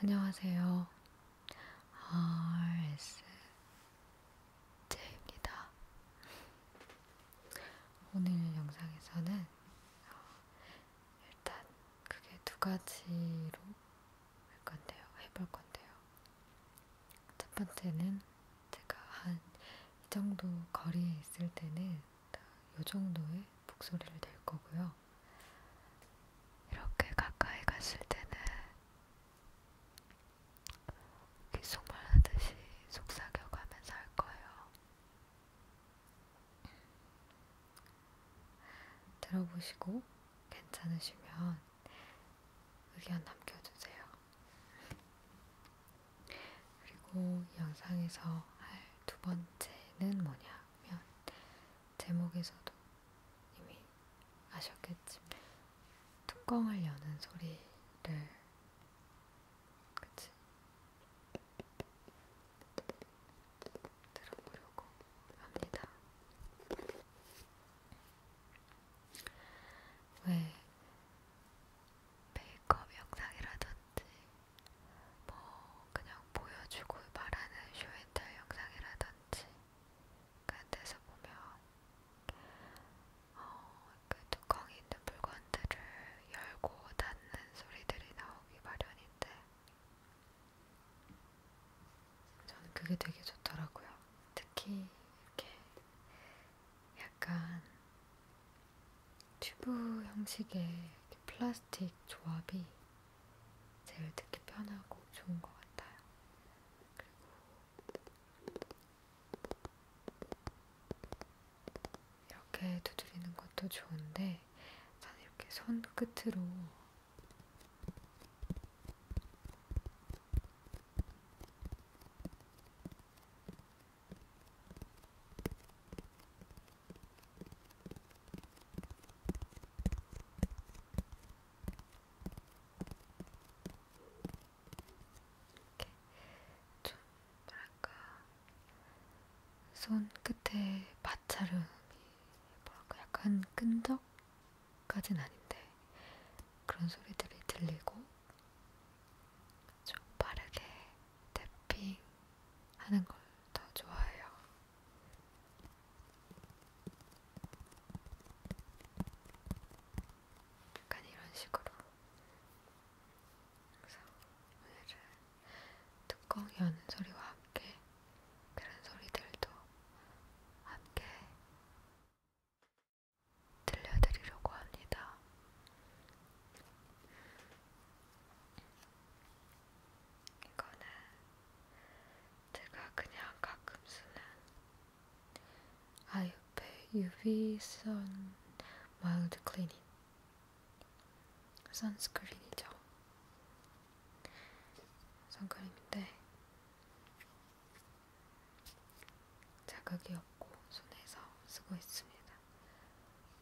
안녕하세요. RSJ입니다. 오늘 영상에서는 일단 그게 두 가지로 할 건데요. 해볼 건데요. 첫 번째는 제가 한 이 정도 거리에 있을 때는 요 정도의 목소리를 낼 거고요. 이렇게 가까이 갔을 때는 귓속말 하듯이 속삭여가면서 할 거예요. 들어보시고 괜찮으시면 의견 남겨주세요. 그리고 영상에서 할 두 번째는 뭐냐? 하면 제목에서도 이미 아셨겠지만 뚜껑을 여는 소리를 그치? 들어보려고 합니다. 왜 메이크업 영상이라든지 뭐 그냥 보여주고 말하는 쇼앤텔 영상이라든지 그런 데서 보면 어, 그 뚜껑이 있는 물건들을 열고 닫는 소리들이 나오기 마련인데 저는 그게 되게 좋더라고요. 특히 이렇게 약간 튜브 형식의 플라스틱 조합이 제일 듣기 편하고 좋은 것 같아요. 그리고 이렇게 두드리는 것도 좋은데 저는 이렇게 손끝으로 좀 뭐랄까 손 끝에 마찰음이 뭐랄까 약간 끈적까진 아닌데 그런 소리들이 들리고 좀 빠르게 태핑 하는 걸 더 좋아해요. 약간 이런 식으로. 그래서 오늘은 뚜껑 여는 소리와 함께 그런 소리들도 함께 들려드리려고 합니다. 이거는 제가 그냥 가끔 쓰는 아이오페 UV 선 마일드 클리닝 선스크린이죠. 선크림인데 자극이 없고 손에서 쓰고 있습니다.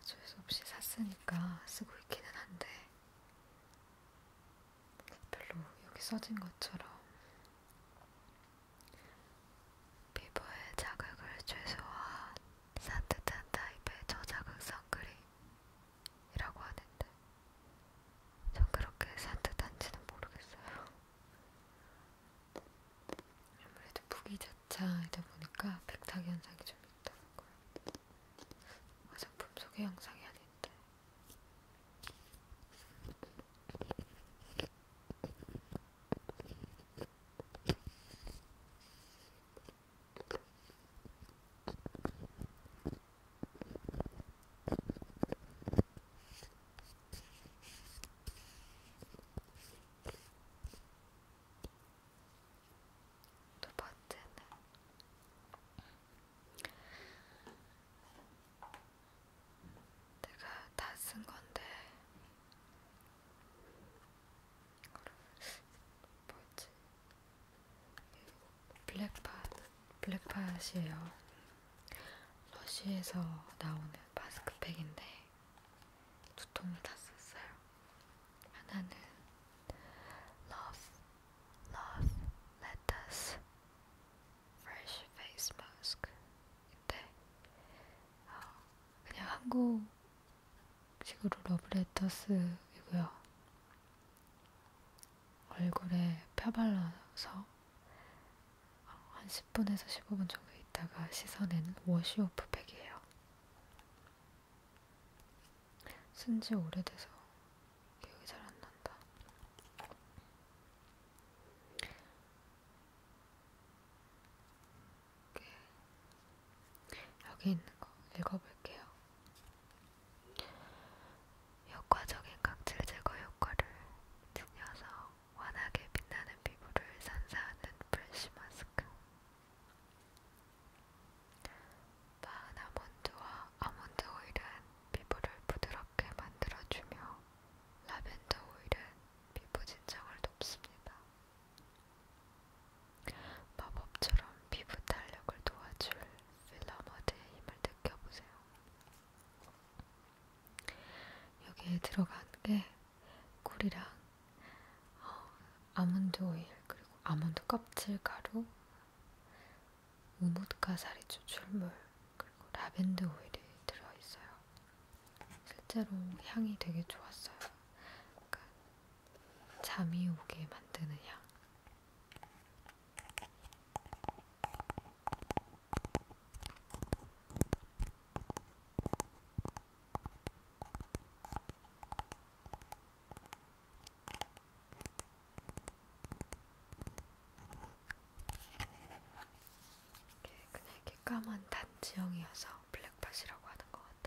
어쩔 수 없이 샀으니까 쓰고 있기는 한데 별로 여기 써진 것처럼 피부에 자극을 최소화한 산뜻한 타입의 저자극 선크림이라고 하는데 전 그렇게 산뜻한지는 모르겠어요. 아무래도 부기자차이다 보니까 백탁 현상이 좀 있더라고요. 화장품 소개 영상이 아닌데. 두 번째는 내가 다 쓴 건데 뭐지? 블랙팟, 블랙팟이에요. 러쉬에서 나오는 마스크팩인데 두 통을 다 썼어요. 하나는 Love, Love, Let Us Fresh Face Mask인데 어, 그냥 한국식으로 러브레터스이고요. 얼굴에 펴발라서 한 10분에서 15분 정도 있다가 씻어내는 워시오프 팩이에요. 쓴 지 오래돼서 기억이 잘 안 난다. 여기 있는 거 읽어볼게요. 효과적인 각질 제거 효과를 지녀서 환하게 빛나는 피부를 선사하는 프레쉬 마스크 마은 아몬드와 아몬드 오일은 피부를 부드럽게 만들어주며 라벤더 오일은 피부 진정을 돕습니다. 마법처럼 피부 탄력을 도와줄 필라머드의 힘을 느껴보세요. 여기에 들어간 게 꿀이랑 어, 아몬드 오일 그리고 아몬드 껍질 가루, 우뭇가 사리 추출물 그리고 라벤더 오일이 들어있어요. 실제로 향이 되게 좋았어요. 그러니까 잠이 오게 만드는 향. 그냥 이렇게 그 까만 단지형이어서 블랙팟이라고 하는 것 같아요.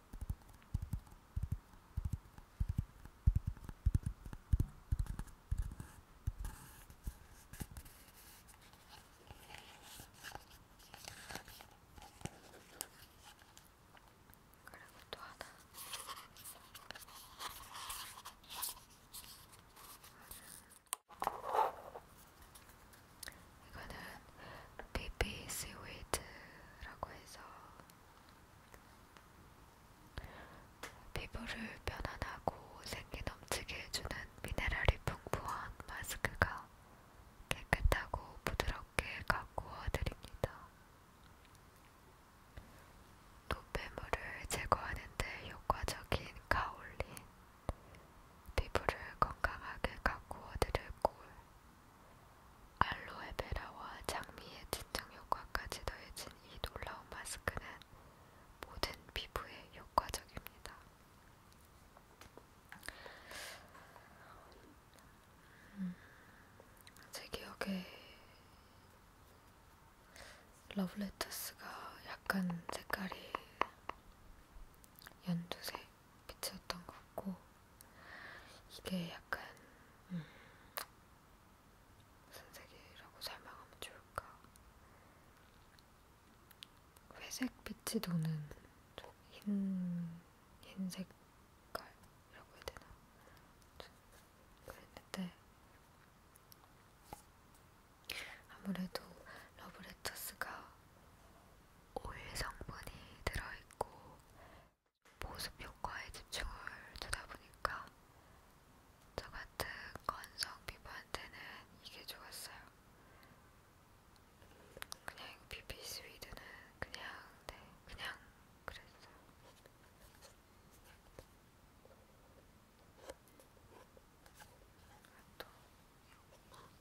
그리고 또 하나 이거는 BB 스위트라고 해서 피부를 편안하고 생기 넘치게 해주는 미네랄이 풍부한 마스크가 깨끗하고 부드럽게 가꾸어 드립니다. 노폐물을 제거하는데 효과적인 가올린 피부를 건강하게 가꾸어 드릴 꿀 알로에베라와 장미의 진정 효과까지 더해진 이 놀라운 마스크는 모든 피부에 효과적입니다. 음, 제 기억에 러브레터스가 약간 색깔이 연두색 피트였던 것 같고 이게 약간 음, 무슨 색이라고 설명하면 좋을까 회색 빛이 도는 흰 흰색깔이라고 해야 되나 그랬는데 아무래도 러브레터스가 오일 성분이 들어있고 보습 효과에 집중을 두다 보니까 저 같은 건성 피부한테는 이게 좋았어요. 그냥 비비 스위드는 그냥 네 그냥 그랬어요. 또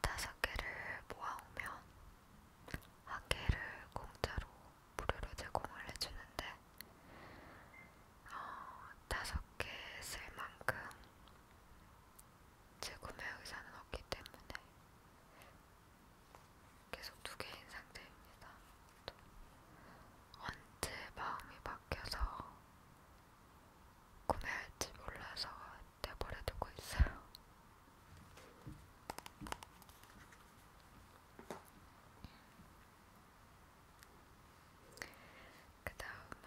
다섯 개를 모아오면 한 개를 공짜로 무료로 제공을 해주는데 다섯 어, 개쓸 만큼 재구매 의사는 없기 때문에 계속 두 개인 상태입니다. 또 언제 마음이 바뀌어서 구매할지 몰라서 내버려두고 있어요. 그 다음은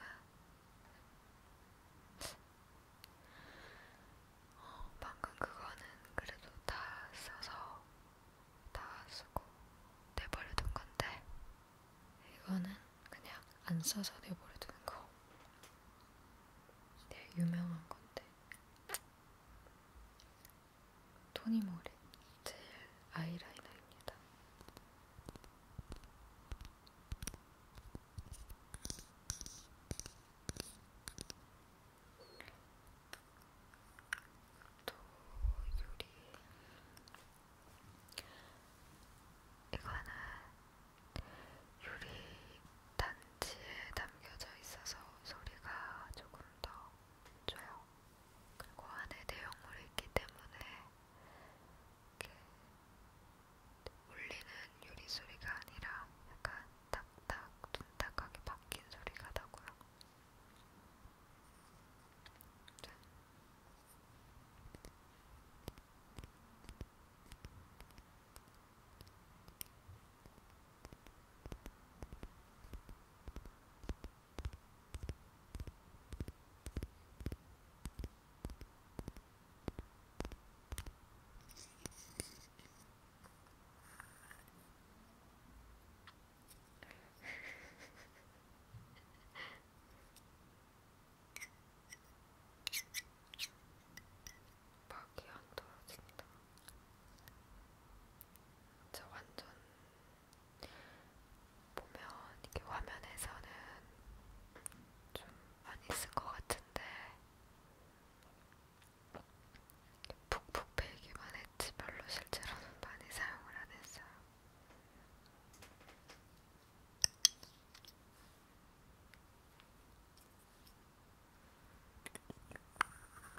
어, 방금 그거는 그래도 다 써서 다 쓰고 내버려둔 건데 이거는 그냥 안 써서 내버려둔 거. 되게 유명한 건데 토니모리 젤 아이라이너입니다. 또 요리 이거는 요리 단지에 담겨져 있어서 소리가 조금 더 조용 그리고 안에 내용물이 있기 때문에 이렇게 울리는 유리 소리가 아니라 약간 딱딱 둔탁하게 바뀐 소리가 나고요. 짠. 네, 막이 안 떨어진다. 진짜 완전 보면 이렇게 화면에서는 좀 많이 쓴 것 같은데 푹푹 베기만 했지 별로 실제로는 많이 사용을 안 했어요.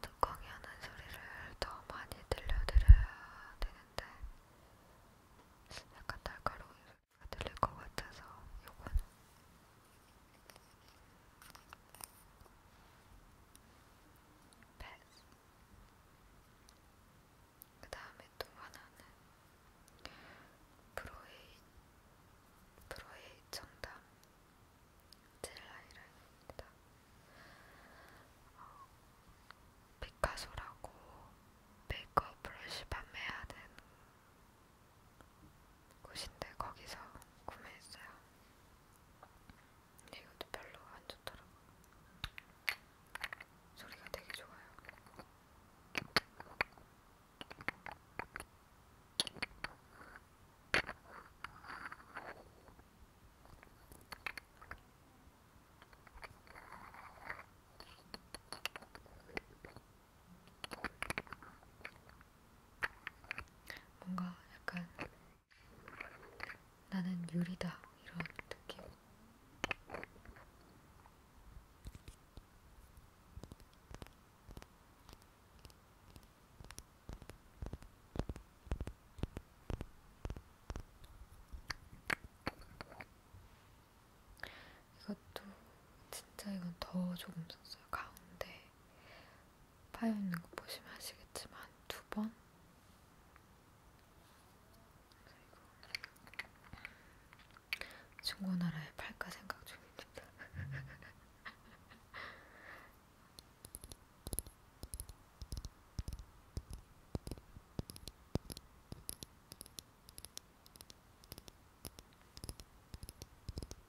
뚜껑이 하는 소리를 더 많이 들려드려야 되는데 약간 날카로운 소리가 들릴 것 같아서 요건 패스. 그 다음에 또 하나는 프로의 프로의 정답 젤 하이라이트입니다. 어, 피카소라고 메이크업 브러쉬 판매하는 곳인데 거기서 구매했어요. 근데 네, 이것도 별로 안 좋더라고. 소리가 되게 좋아요. 뭔가 약간 나는 유리다 이런 느낌. 이것도 진짜 이건 더 조금 썼어요. 가운데 파여 있는 거 보시면 아시겠지만 두 번. 중고나라에 팔까 생각 중입니다.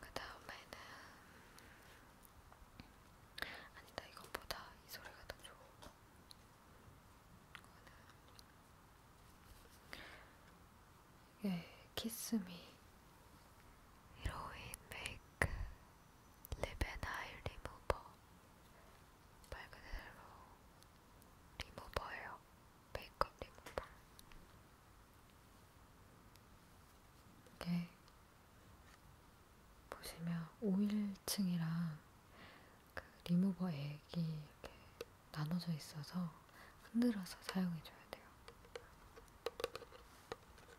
그 다음에는 아니다 이것보다 이 소리가 더 좋은 거는 이게 키스미 히로인 메이크 리베나일 리무버 말 그대로 리무버예요. 메이크업 리무버. 이게 보시면 오일층이랑 그 리무버 액이 이렇게 나눠져 있어서 흔들어서 사용해줘야 돼요.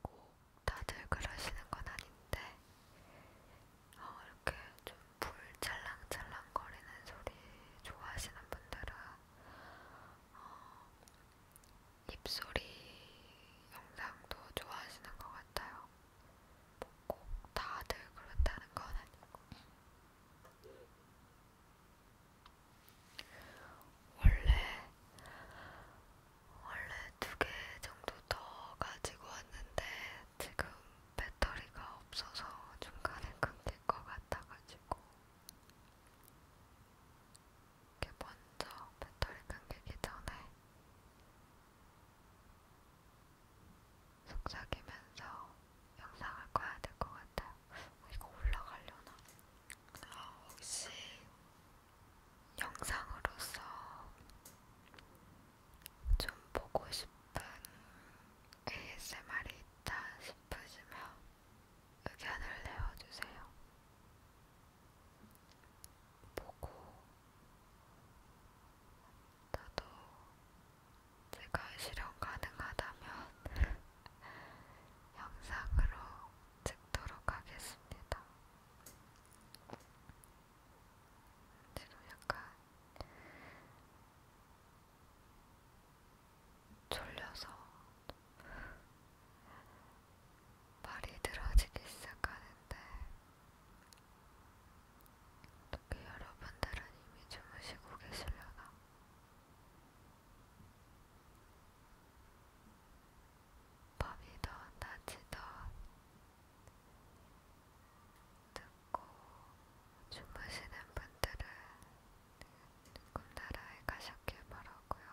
꼭 다들 그러시는 건 아닌데, 어, 이렇게 좀불 찰랑찰랑 거리는 소리 좋아하시는 분들은 어, 입소리 영상도 좋아하시는 것 같아요. 뭐 꼭 다들 그렇다는 건 아니고. 원래, 원래 두 개 정도 더 가지고 왔는데, 지금 배터리가 없어서 중간에 끊길 것 같아가지고, 이렇게 먼저 배터리 끊기기 전에 속삭이면서 영상을 꺼야 될 것 같아요. 어, 이거 올라가려나? 어, 혹시 영상으로서 좀 보고 싶은 ASMR이 있다 싶으시면 의견을 내어주세요. 보고 나도 제가 실현 가능하다면 영상으로 찍도록 하겠습니다. 지금 약간 졸려서 말이 늘어지기 시작하는데 어떻게 여러분들은 이미 주무시고 계시려나? 밤이든 낮이든 듣고 주무시는 분들은 꿈나라에 가셨길 바라고요.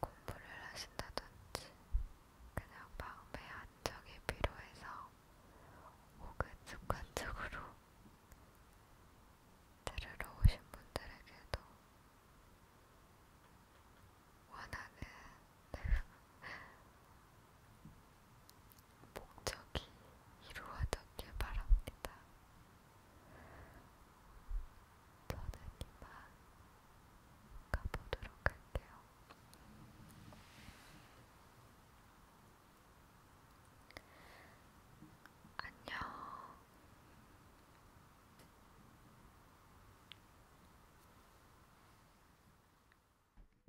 공부를 하신다든지 그냥 마음의 안정이 필요해서 혹은 습관적으로 들으러 오신 분들에게도 원하는 목적이 이루어졌길 바랍니다. 저는 이만 가보도록 할게요. 안녕.